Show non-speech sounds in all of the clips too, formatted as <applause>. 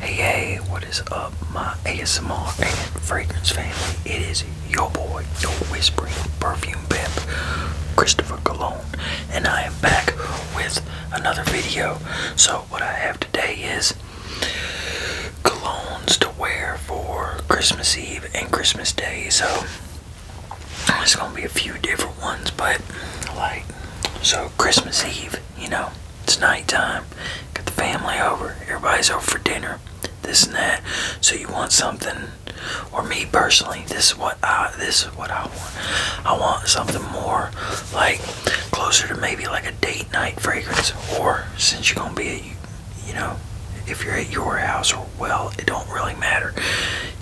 Hey, hey, what is up, my ASMR and fragrance family? It is your boy, your whispering perfume pimp, Christopher Cologne, and I am back with another video. So, what I have today is colognes to wear for Christmas Eve and Christmas Day. So, it's gonna be a few different ones, but like so Christmas Eve, you know, it's nighttime. Got the family over. Everybody's over for dinner. This and that. So you want something, or me personally, this is what I this is what I want. I want something more like closer to maybe like a date night fragrance, or since you're gonna be, you know, if you're at your house or well, it don't really matter.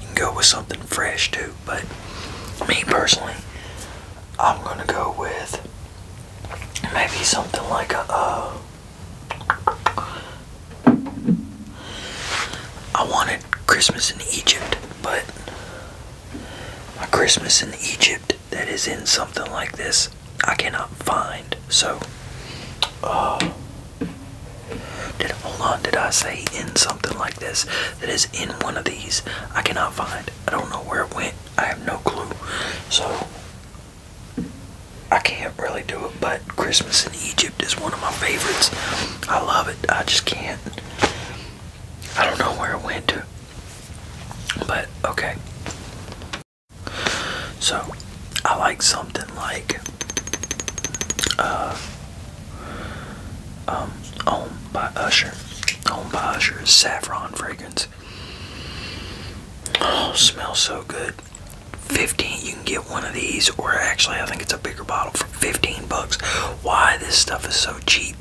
You can go with something fresh too. But me personally, I'm gonna go with maybe something like a. Uh, I wanted Christmas in Egypt, but my Christmas in Egypt that is in something like this I cannot find. So, uh, did hold on? Did I say in something like this? that is in one of these I cannot find. I don't know where it went. I have no clue. So I can't really do it, but Christmas in Egypt is one of my favorites. I love it. I just can't. I don't know where it went to. But okay. So I like something like uh, um, owned by Usher. Owned by Usher saffron fragrance. Oh, smells so good. 15 you can get one of these or actually I think it's a bigger bottle for 15 bucks. Why this stuff is so cheap,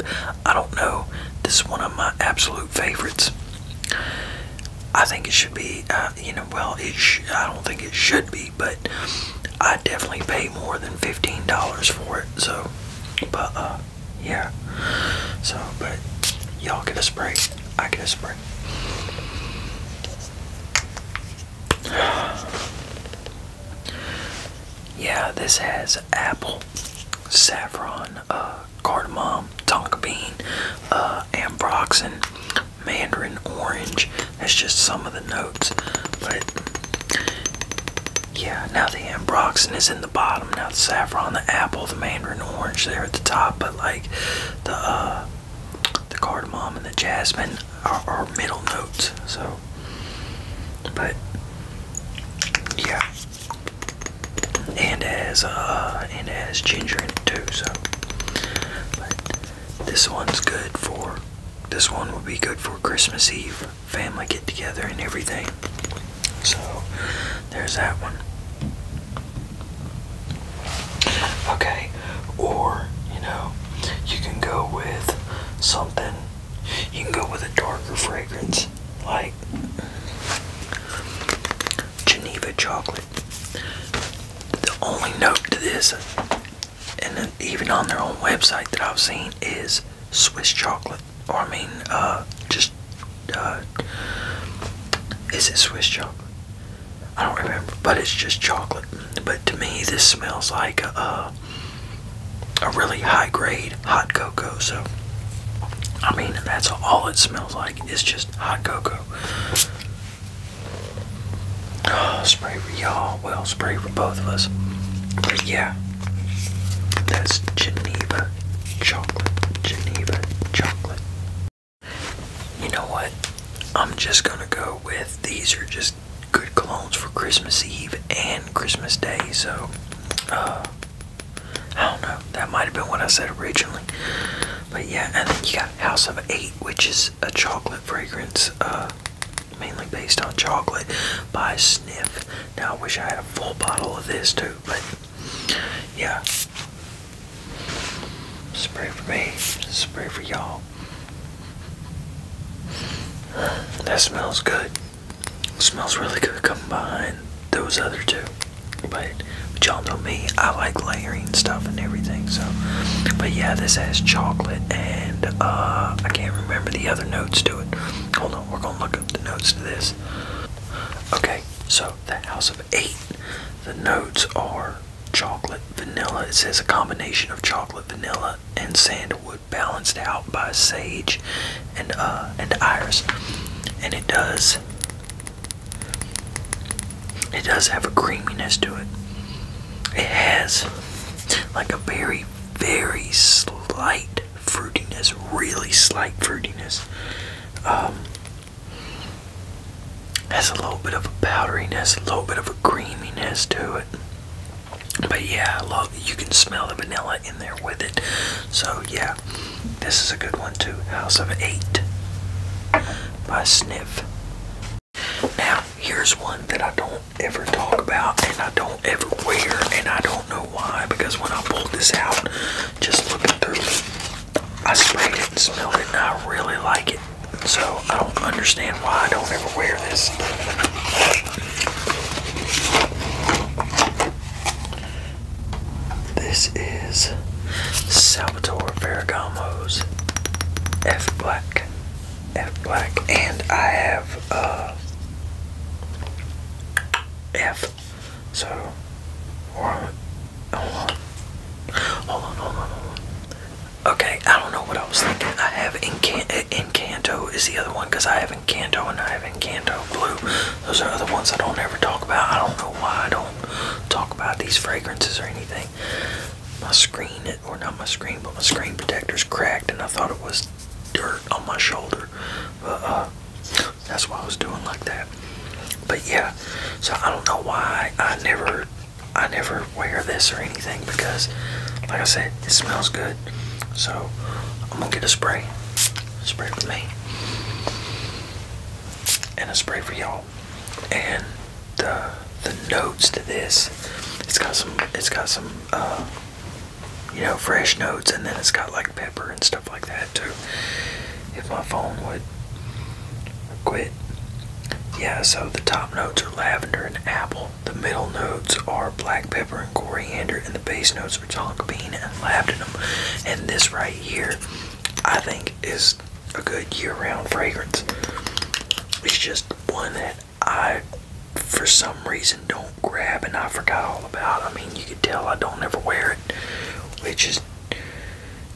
I don't know. This is one of my absolute favorites. I think it should be, uh, you know, well, it I don't think it should be but I definitely pay more than $15 for it. So, but uh, yeah. So, but y'all get a spray. I get a spray. <sighs> Yeah, this has apple, saffron, uh, cardamom, tonka bean, uh, ambroxan, mandarin orange, that's just some of the notes. But yeah, now the ambroxan is in the bottom. Now the saffron, the apple, the mandarin orange there at the top. But like the uh, the cardamom and the jasmine are, middle notes. So, but yeah, and as uh, and as ginger in it too. So, but this one's good for, this one will be good for Christmas Eve, family get together and everything. So, there's that one. Okay, or, you know, you can go with something, you can go with a darker fragrance, like Geneva chocolate. The only note to this and even on their own website that I've seen is Swiss chocolate, or I mean, uh, just uh, is it Swiss chocolate? I don't remember, but it's just chocolate. But to me, this smells like a uh, really high grade hot cocoa. So, I mean, that's all it smells like. It's just hot cocoa. Oh, <gasps> spray for y'all. Well, spray for both of us. yeah, that's Geneva chocolate. Geneva chocolate. You know what? I'm just gonna go with these are just good colognes for Christmas Eve and Christmas Day. So, uh, I don't know. That might have been what I said originally. But yeah, and then you got House of Eight, which is a chocolate fragrance, uh, mainly based on chocolate, by Sniff. Now, I wish I had a full bottle of this too, but yeah. Spray for me, spray for y'all. That smells good. smells really good coming behind those other two. but y'all know me, I like layering stuff and everything, so. But yeah, this has chocolate and uh, I can't remember the other notes to it. Hold on, we're gonna look up the notes to this. Okay, so the house of eight. The notes are chocolate, vanilla. It says a combination of chocolate, vanilla, and sandalwood, balanced out by sage and uh, and iris. And it does. It does have a creaminess to it. It has like a very, very slight fruitiness, really slight fruitiness. Um, has a little bit of a powderiness, a little bit of a creaminess to it. But yeah, I you can smell the vanilla in there with it. So yeah, this is a good one too. House of Eight by Sniff. Now, here's one that I don't ever talk about and I don't ever wear, and I don't know why because when I pulled this out, just looking through it, I sprayed it and smelled it, and I really like it. So, I don't understand why I don't ever wear this. This is Salvatore Ferragamo's F Black F black, and I have uh, F. So, hold on, hold on, hold on, Okay, I don't know what I was thinking. I have Encan uh, Encanto is the other one because I have incanto and I have incanto Blue. Those are other ones I don't ever talk about. I don't know why I don't talk about these fragrances or anything. My screen or not my screen, but my screen protector's cracked, and I thought it was dirt on my shoulder. But, uh, that's why I was doing like that. But yeah, so I don't know why I never, I never wear this or anything because, like I said, it smells good. So I'm gonna get a spray, spray for me, and a spray for y'all and the uh, the notes to this, it's got some it's got some uh, you know fresh notes, and then it's got like pepper and stuff like that too. If my phone would quit, yeah. So the top notes are lavender and apple. The middle notes are black pepper and coriander, and the base notes are tonka bean and labdanum. And this right here, I think is a good year-round fragrance. It's just one that I, for some reason, don't grab and I forgot all about. I mean, you could tell I don't ever wear it, which is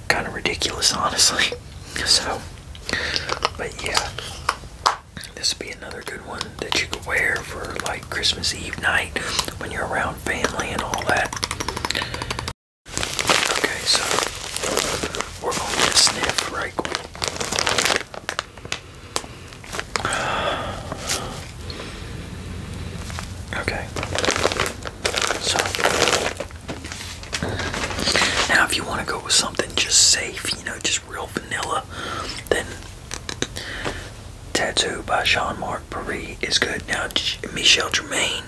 kind of ridiculous, honestly. <laughs> So, but yeah, this would be another good one that you could wear for like Christmas Eve night when you're around family and all that. Okay, so we're going to sniff right Okay. So now if you want to go with something just safe, you know, just real vanilla, then Tattoo by Jean-Marc Paris is good. Now Michelle Germain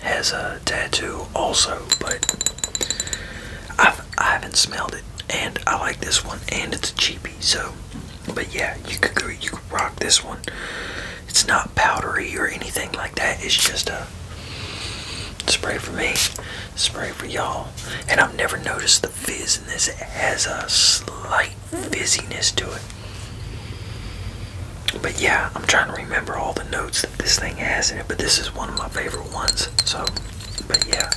has a tattoo also, but I've, I haven't smelled it. And I like this one, and it's a cheapie. So, but yeah, you could you could rock this one. It's not powdery or anything like that. It's just a spray for me, spray for y'all. And I've never noticed the fizziness. It has a slight fizziness to it. But yeah, I'm trying to remember all the notes that this thing has in it, but this is one of my favorite ones. So, but yeah.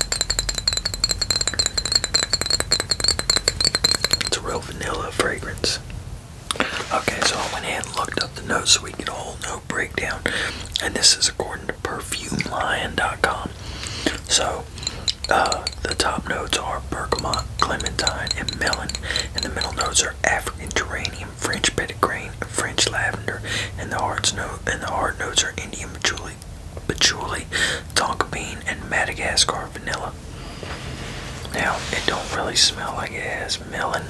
It's a real vanilla fragrance. Okay, so I went ahead and looked up the notes so we get a whole note breakdown. And this is according to perfumelion.com. So, uh, the top notes are bergamot, clementine, and melon. And the middle notes are African geranium, French Petit Grain, French Lavender, and the heart notes are Indian Patchouli, patchouli Tonka Bean, and Madagascar Vanilla. Now it don't really smell like it has melon.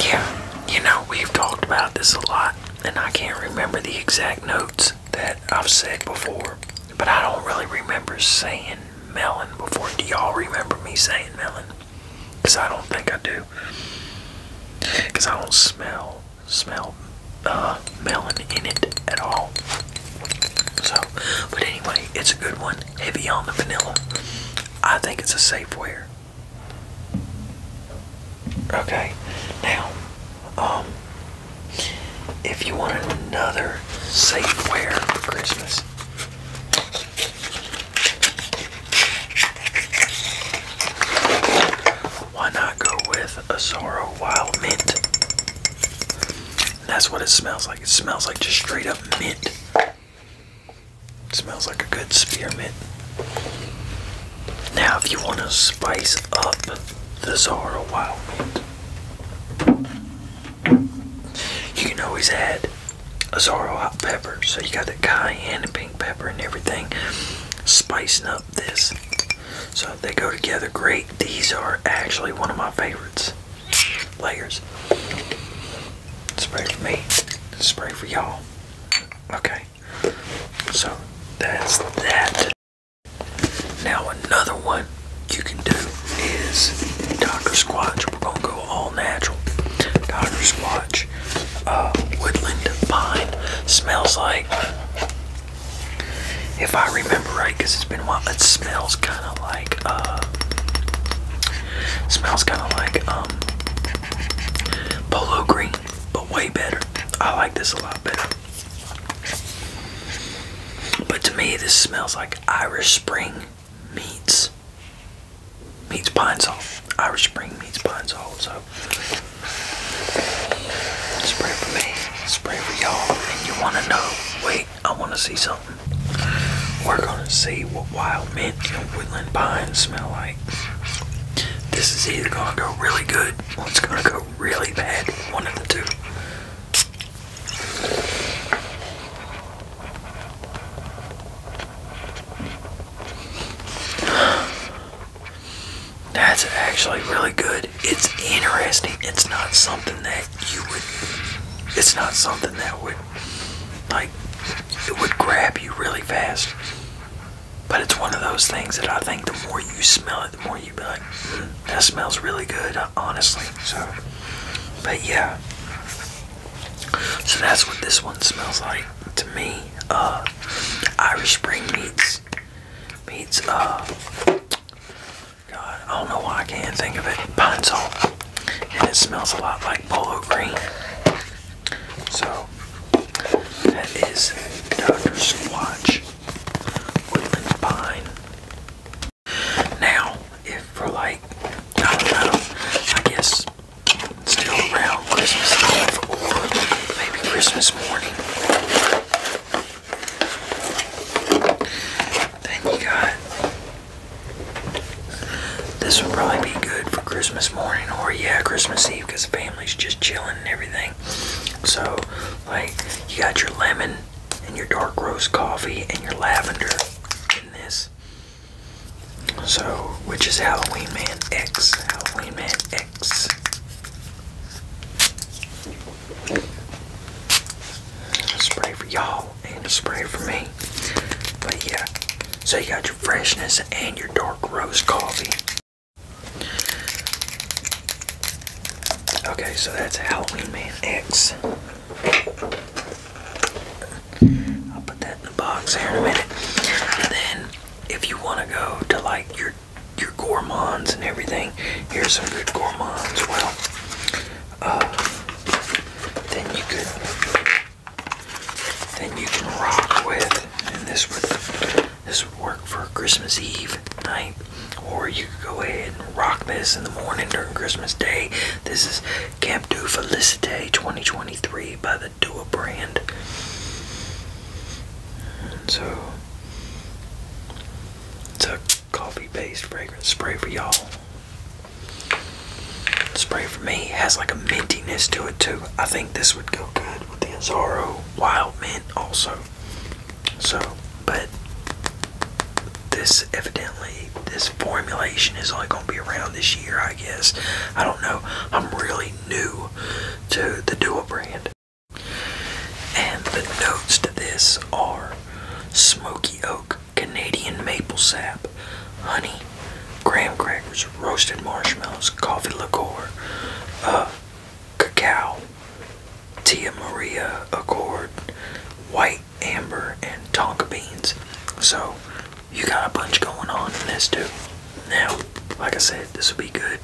Yeah, you know we've talked about this a lot, and I can't remember the exact notes that I've said before. But I don't really remember saying melon before. Do y'all remember me saying melon? Because I don't think I do. Because I don't smell smell uh, melon in it at all. So, but anyway, it's a good one. Heavy on the vanilla. I think it's a safe wear. Okay, now, um, if you want another safe safeware for Christmas, why not go with Azoro Wild Mint? that's what it smells like. It smells like just straight up mint. smells like a good spearmint. Now, if you want to spice up the Zara Wild Mint, you can always add a Azaro hot pepper, so you got the cayenne and pink pepper and everything spicing up this. So they go together great. These are actually one of my favorites. Layers. Spray for me. Spray for y'all. Okay. So that's that. Now another one you can do is Dr. Squatch. We're gonna go all natural. Dr. Squatch, uh, woodland pine, smells like. If I remember right, because it's been a while, it smells kind of like. Uh, smells kind of like um, polo green, but way better. I like this a lot better. But to me, this smells like Irish Spring meets Meats pine salt. Irish Spring meets pine salt. So pray for me, Pray for y'all, and you want to know. Wait, I want to see something. We're gonna see what wild mint and woodland pine smell like. This is either gonna go really good or it's gonna go really bad. One of the two. That's actually really good. It's interesting. It's not something that you would. It's not something that would, like, it would grab you really fast. But it's one of those things that I think the more you smell it, the more that smells really good, honestly. So, but yeah. So that's what this one smells like to me. Uh, Irish Spring meats, meats. Uh, God, I don't know why I can't think of it. Pine salt, and it smells a lot like polo green. So that is Dr. Squatch. Woodland Pine. Now, if for like, I guess still around Christmas Eve or maybe Christmas morning, then you got this would probably be good for Christmas morning or yeah, Christmas Eve because the family's just chilling and everything. So, like, you got your lemon and your dark roast coffee and your lavender in this. So, which is Halloween Man X. Halloween Man X. spray for y'all and a spray for me. But yeah, so you got your freshness and your dark roast coffee. Okay, so that's Halloween Man X. I'll put that in the box here in a minute. And then, if you want to go to like your your gourmands and everything, here's some good gourmands. Well, uh, then you could then you can rock with, this would this would work for Christmas Eve night, or you could go ahead and rock this in the morning during Christmas Day. This is Camp Du Felicite 2023 by the Duo brand. so, it's a coffee based fragrance spray for y'all. Spray for me has like a mintiness to it too. I think this would go good with the Azaro Wild Mint also. So, but this evidently, this formulation is only going to be around this year, I guess. I don't know. I'm really new to the Duo brand. And the notes to this are smoky oak, Canadian maple sap, honey, graham crackers, roasted marshmallows, coffee liqueur, uh, cacao, Tia Maria Accord, white amber, and tonka beans. So you got a bunch going on in this too. Now, like I said, this would be good.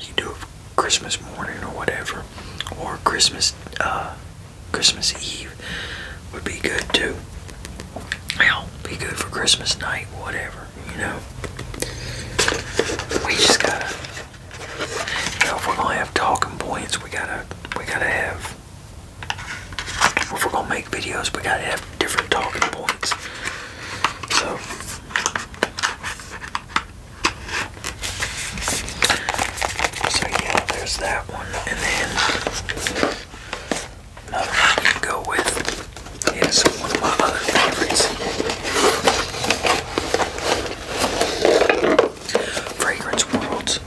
You do it Christmas morning or whatever, or Christmas uh, Christmas Eve would be good too. Now, be good for Christmas night, whatever you know. We just gotta, you know, if we're gonna have talking points, we gotta, we gotta have. If we're gonna make videos, we gotta have different talking points. So. So yeah, there's that one, and then another one you go with is one of my other favorites. Fragrance World's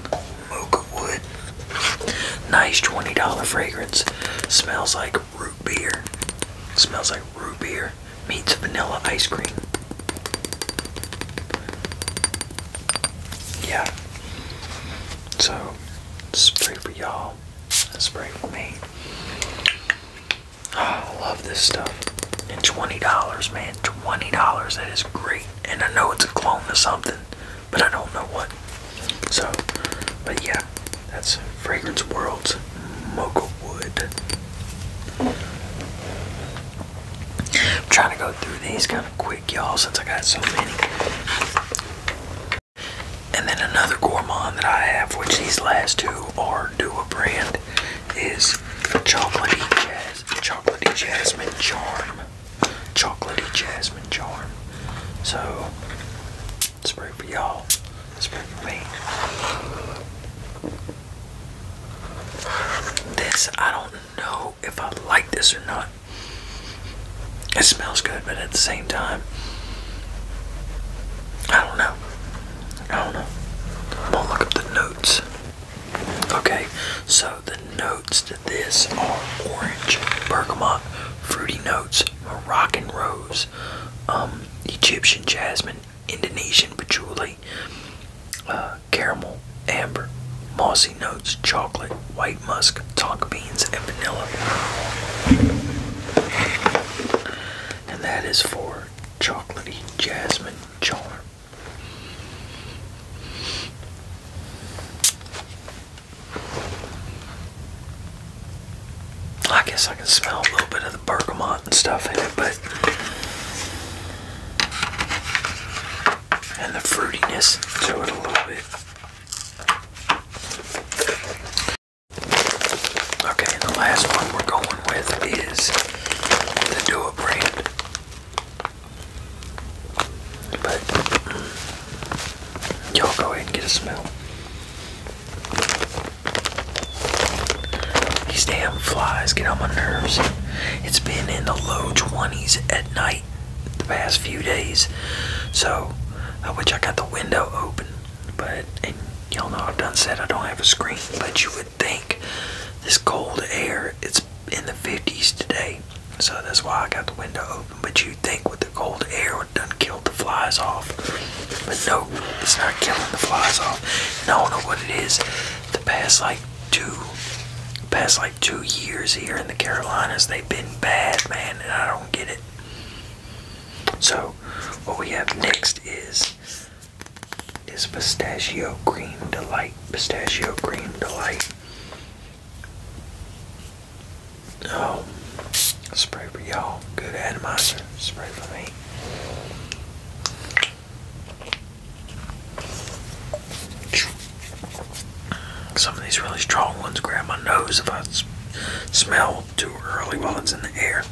Mocha Wood. Nice $20 fragrance. Smells like root beer. Smells like root beer meets vanilla ice cream. Yeah. So, spray for y'all. Spray for me. Oh, I love this stuff. And $20, man. $20. That is great. And I know it's a clone of something, but I don't know what. So, but yeah, that's Fragrance World's Mocha Wood. I'm trying to go through these kind of quick, y'all, since I got so many. And then another gourmand that I have, which these last two are Dua brand, is Chocolatey, Jaz Chocolatey Jasmine Charm. Chocolatey Jasmine Charm. So, spray for y'all. spray for me. This, I don't know if I like this or not. It smells good, but at the same time, I don't know. I don't know. I'm gonna look up the notes. Okay, so the notes to this are orange, bergamot, fruity notes, Moroccan rose, um, Egyptian jasmine, Indonesian patchouli, uh, caramel, amber, mossy notes, chocolate, white musk, tonka beans, and vanilla and that is for Chocolatey Jasmine Charm. I guess I can smell a little bit of the bergamot and stuff in it, but and the fruitiness to it a little bit. Okay, and the last one we're going with is the Dua brand. But mm, y'all go ahead and get a smell. These damn flies get on my nerves. It's been in the low 20s at night the past few days, so I wish I got the window open. But, and y'all know I've done said I don't have a screen, but you would think this cold air, it's in the 50s today. So that's why I got the window open. But you'd think with the cold air, it done killed the flies off. But no, it's not killing the flies off. I don't know what it is. The past like two, past like two years here in the Carolinas, they've been bad, man, and I don't get it. So, what we have next is is pistachio green delight. Pistachio green delight. Oh, spray for y'all. Good atomizer. Spray for me. Some of these really strong ones grab my nose if I smell too early while it's in the air.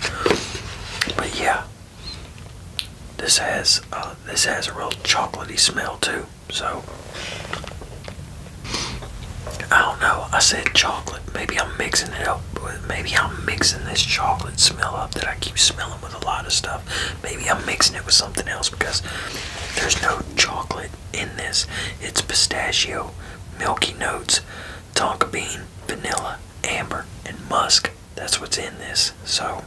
But yeah, this has uh, this has a real chocolatey smell too. So I don't know. I said chocolate. Maybe I'm mixing it up. Maybe I'm mixing this chocolate smell up that I keep smelling with a lot of stuff. Maybe I'm mixing it with something else because there's no chocolate in this. It's pistachio, milky notes tonka bean, vanilla, amber, and musk. That's what's in this. So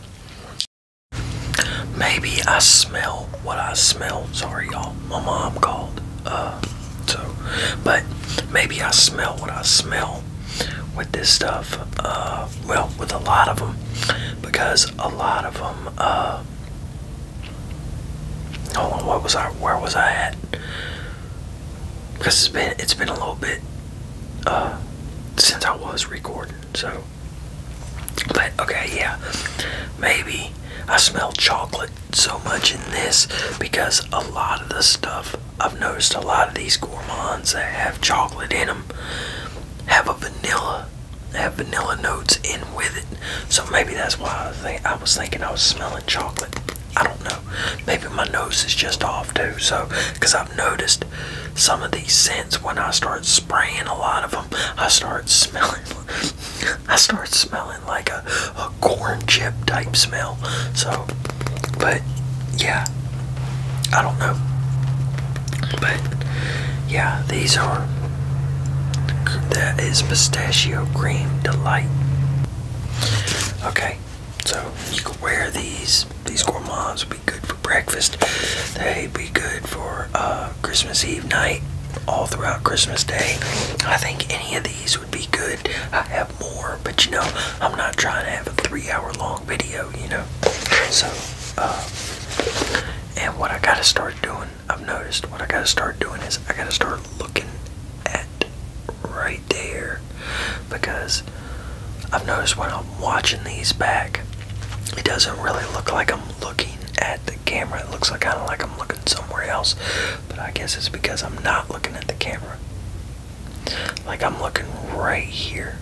maybe I smell what I smell. Sorry, y'all. My mom called. Uh, so, but maybe I smell what I smell with this stuff. Uh, well, with a lot of them, because a lot of them, uh, Hold on, what was I? Where was I at? Because it's been it's been a little bit uh, since I was recording. So, but okay, yeah, maybe I smell chocolate so much in this because a lot of the stuff I've noticed, a lot of these gourmands that have chocolate in them have a vanilla, have vanilla notes in with it. So maybe that's why I, think, I was thinking I was smelling chocolate. I don't know. Maybe my nose is just off too. So, because I've noticed some of these scents when I start spraying a lot of them, I start smelling. <laughs> I start smelling like a corn chip type smell. So, but yeah, I don't know. But yeah, these are that is pistachio cream delight. Okay, so you could wear these. These gourmands would be good for breakfast. They'd be good for uh, Christmas Eve night, all throughout Christmas Day. I think any of these would be good. I have more, but you know, I'm not trying to have a three-hour-long video. You know, so. Uh, and what I gotta start doing I've noticed what I gotta start doing is I gotta start looking at right there because I've noticed when I'm watching these back it doesn't really look like I'm looking at the camera it looks like kind of like I'm looking somewhere else but I guess it's because I'm not looking at the camera like I'm looking right here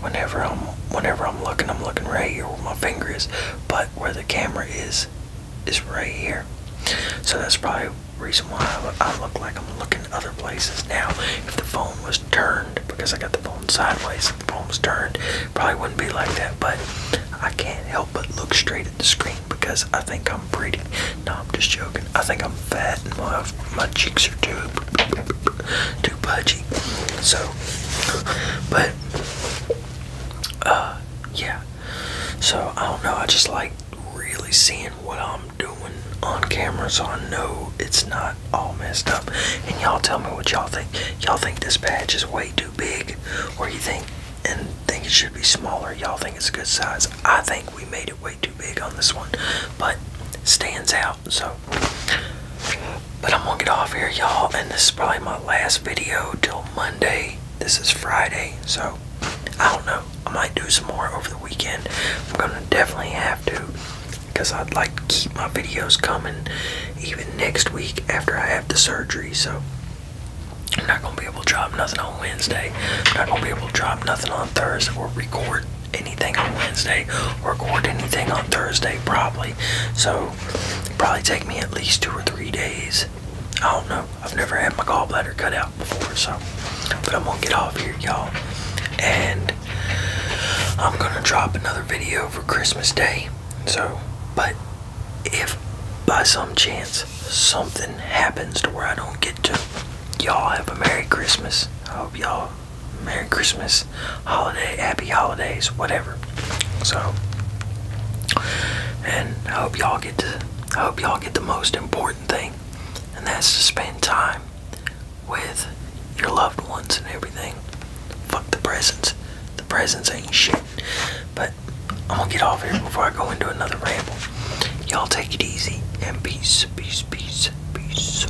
whenever I'm whenever I'm looking I'm looking right here where my finger is but where the camera is is right here so that's probably the reason why I look, like I'm looking other places now if the phone was turned because I got the phone sideways if the phone was turned probably wouldn't be like that but I can't help but look straight at the screen because I think I'm pretty no I'm just joking I think I'm fat and my, my cheeks are too too pudgy so but uh, yeah. So I don't know. I just like really seeing what I'm doing on camera, so I know it's not all messed up. And y'all tell me what y'all think. Y'all think this patch is way too big, or you think and think it should be smaller? Y'all think it's a good size? I think we made it way too big on this one, but stands out. So but I'm gonna get off here, y'all, and this is probably my last video till Monday. This is Friday, so I don't know. I might do some more over the weekend. I'm gonna definitely have to because I'd like to keep my videos coming even next week after I have the surgery. So I'm not gonna be able to drop nothing on Wednesday. I'm not gonna be able to drop nothing on Thursday or record anything on Wednesday or record anything on Thursday probably. So probably take me at least two or three days. I don't know. I've never had my gallbladder cut out before, so. But I'm gonna get off here, y'all. And I'm gonna drop another video for Christmas Day. So, but if by some chance something happens to where I don't get to, y'all have a Merry Christmas. I hope y'all Merry Christmas holiday, happy holidays, whatever. So, and I hope y'all get to, I hope y'all get the most important thing, and that's to spend time with your loved ones and everything. Fuck the presents. The presents ain't shit. But I'm gonna get off here before I go into another ramble. Y'all take it easy and peace, peace, peace, peace.